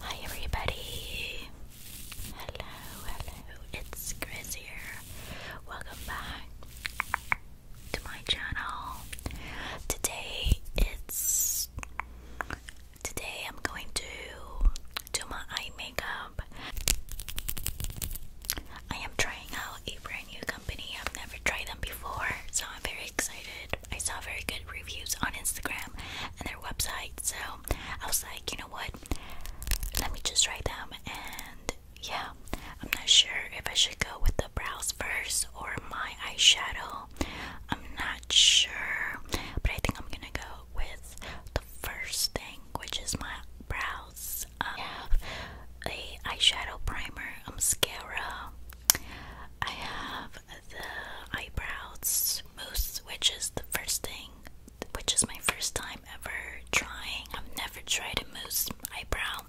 Hi everybody! Hello, hello, it's Chris here. Welcome back to my channel. Today it's today I'm going to do my eye makeup. I am trying out a brand new company. I've never tried them before, I'm very excited. I saw very good reviews on Instagram and their website, so I was like, you know what? Let me just try them. And yeah, I'm not sure if I should go with the brows first or my eyeshadow. I'm not sure, but I think I'm gonna go with the first thing, which is my brows. I um, have a eyeshadow primer, a mascara. I have the eyebrow mousse, which is the first thing, which is my first time ever trying. I've never tried a mousse eyebrow,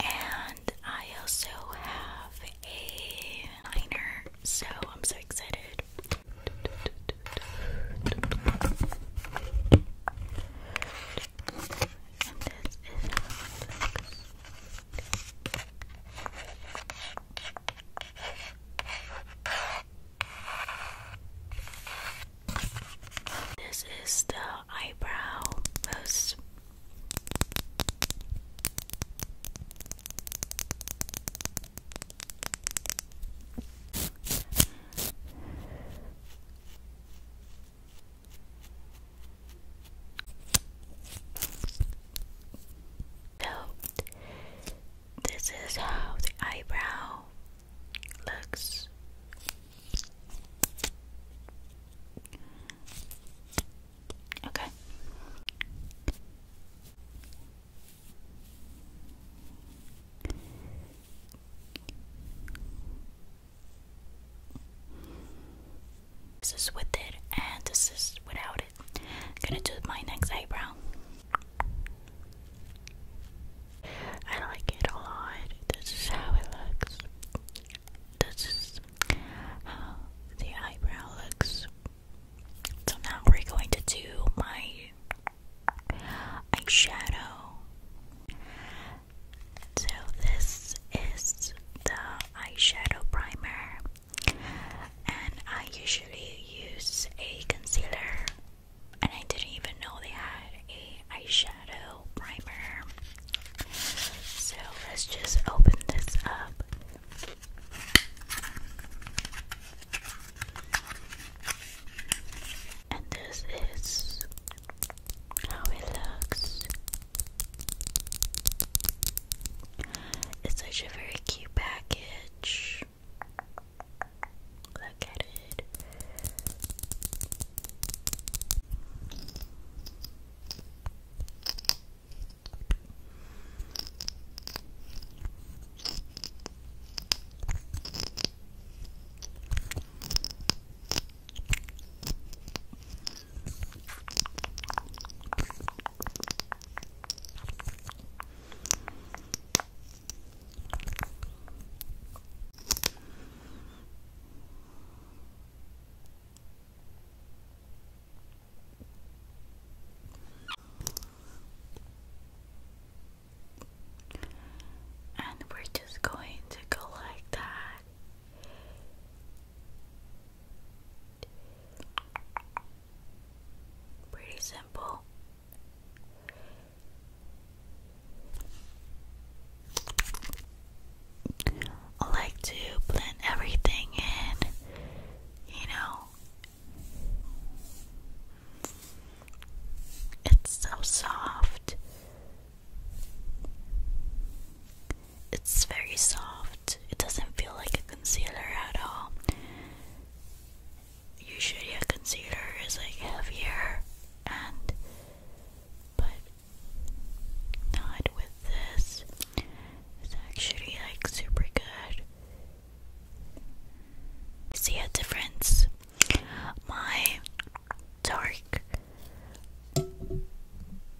and I also have a liner, so I'm so excited. And this is how this is the eyebrow so, this is how the eyebrow looks. Okay. This is with it, and this is without it. I'm gonna do my next eyebrow. I like it a lot. This is how it looks. This is how the eyebrow looks. So now we're going to do my eyeshadow. So this is the eyeshadow primer, and I usually use a concealer, and I didn't even know they had a eyeshadow primer. So let's just open this up. And this is how it looks. It's such a very cute package. Look at it. And we're just going to go like that. Pretty simple. I like to blend everything in, you know. It's so soft. It's very soft. It doesn't feel like a concealer at all. Usually a concealer is like heavier and but not with this. It's actually like super good. See a difference? My dark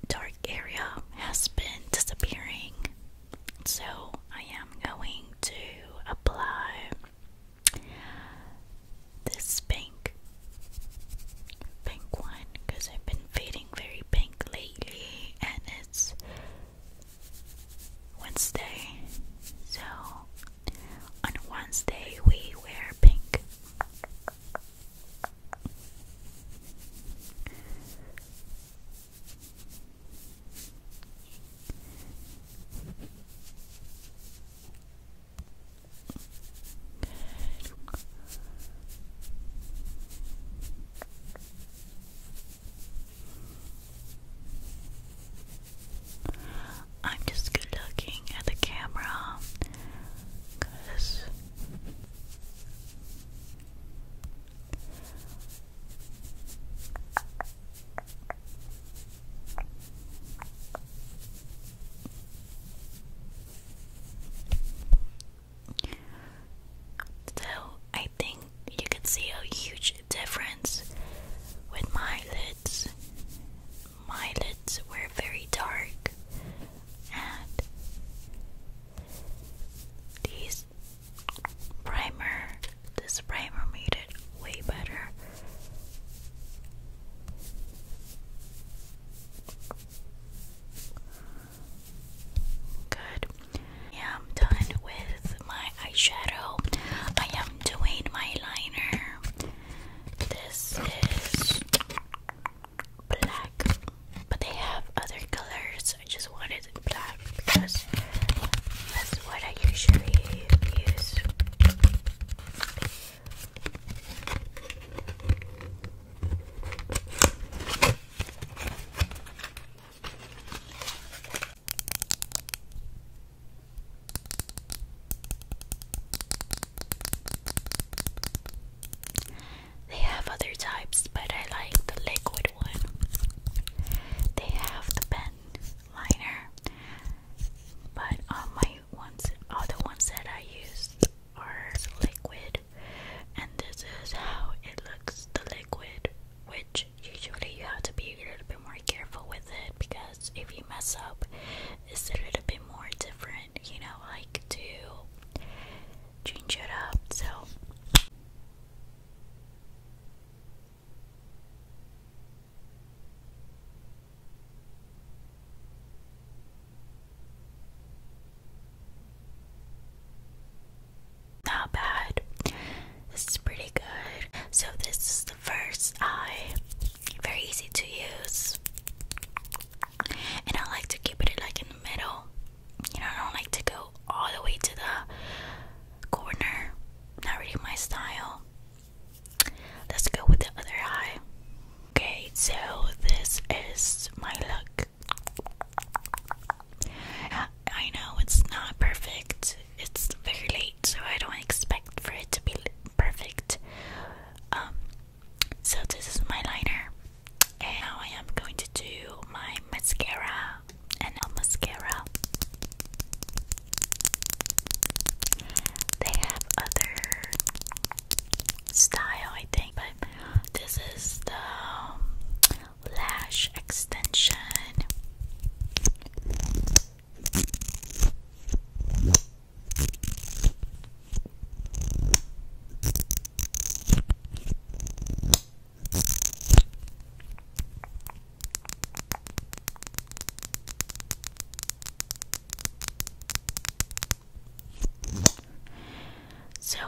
dark area has been disappearing. So I am going to apply this pink pink one because I've been fading very pink lately and it's Wednesday. So on Wednesday we wear pink. I'm just looking at the camera because so I think you can see a huge difference with my lids. My lids were very dark and these primer this primer made it way better good I'm done with my eyeshadow I am doing my liner this is black, but they have other colors. I just wanted black because that's what I usually use. They have other types, but I like the liquid one. They have the pen liner, but all my ones, all the ones that I use are liquid, and this is how it looks the liquid, which usually you have to be a little bit more careful with it because if you mess up, it's a little bit more different you know, like to change it up. So not bad. This is pretty good. So this is the first eye very easy to use, and I like to keep it like in the middle. You know, I don't like to go all the way to the corner. Not really my style. Let's go with the other eye. Okay, so this is my look. I know it's not perfect. It's very late, so I don't expect for it to be perfect. Um, so this is my liner, now I am going to do my mascara and a mascara. They have other style, I think, but this is the um, lash extension. So,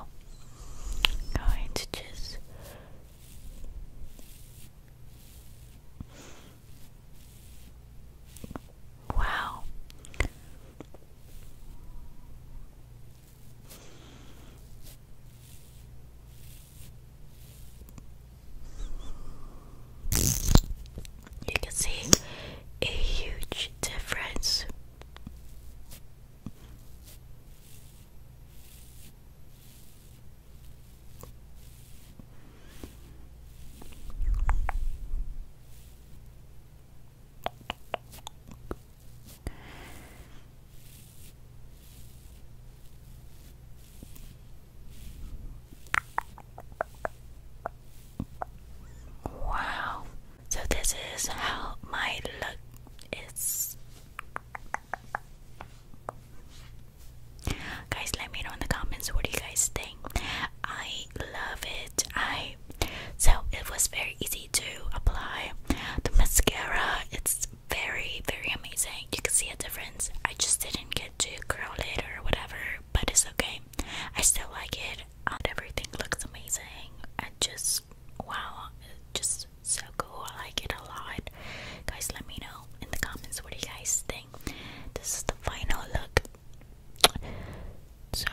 going to just Wow. You can see a huge difference. Wow. So this is how my look is. Guys, let me know in the comments what do you guys think. I I love it. I so it was very easy to apply the mascara. It's very very amazing. You can see a difference. I just didn't get to curl it or whatever, but it's okay. I still like it. Um, everything looks amazing. I just wow, just so cool. I like it a lot. Guys, let me know in the comments what do you guys think. This is the final look so,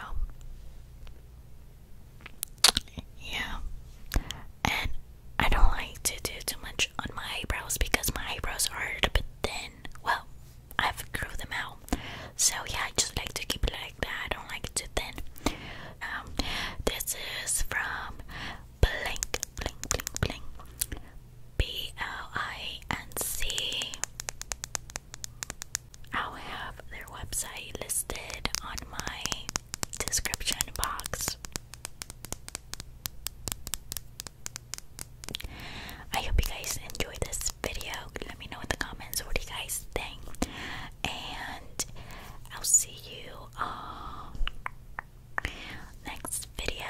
yeah. And I don't like to do too much on my eyebrows because my eyebrows are a bit thin. Well, I've grew them out. So, yeah, I just like to keep it like that. I don't like it too thin. Um, this is from Blink, Blink, Blink, Blink. B L I N C I'll have their website listed on my description box. I hope you guys enjoyed this video. Let me know in the comments what you guys think. And I'll see you on next video.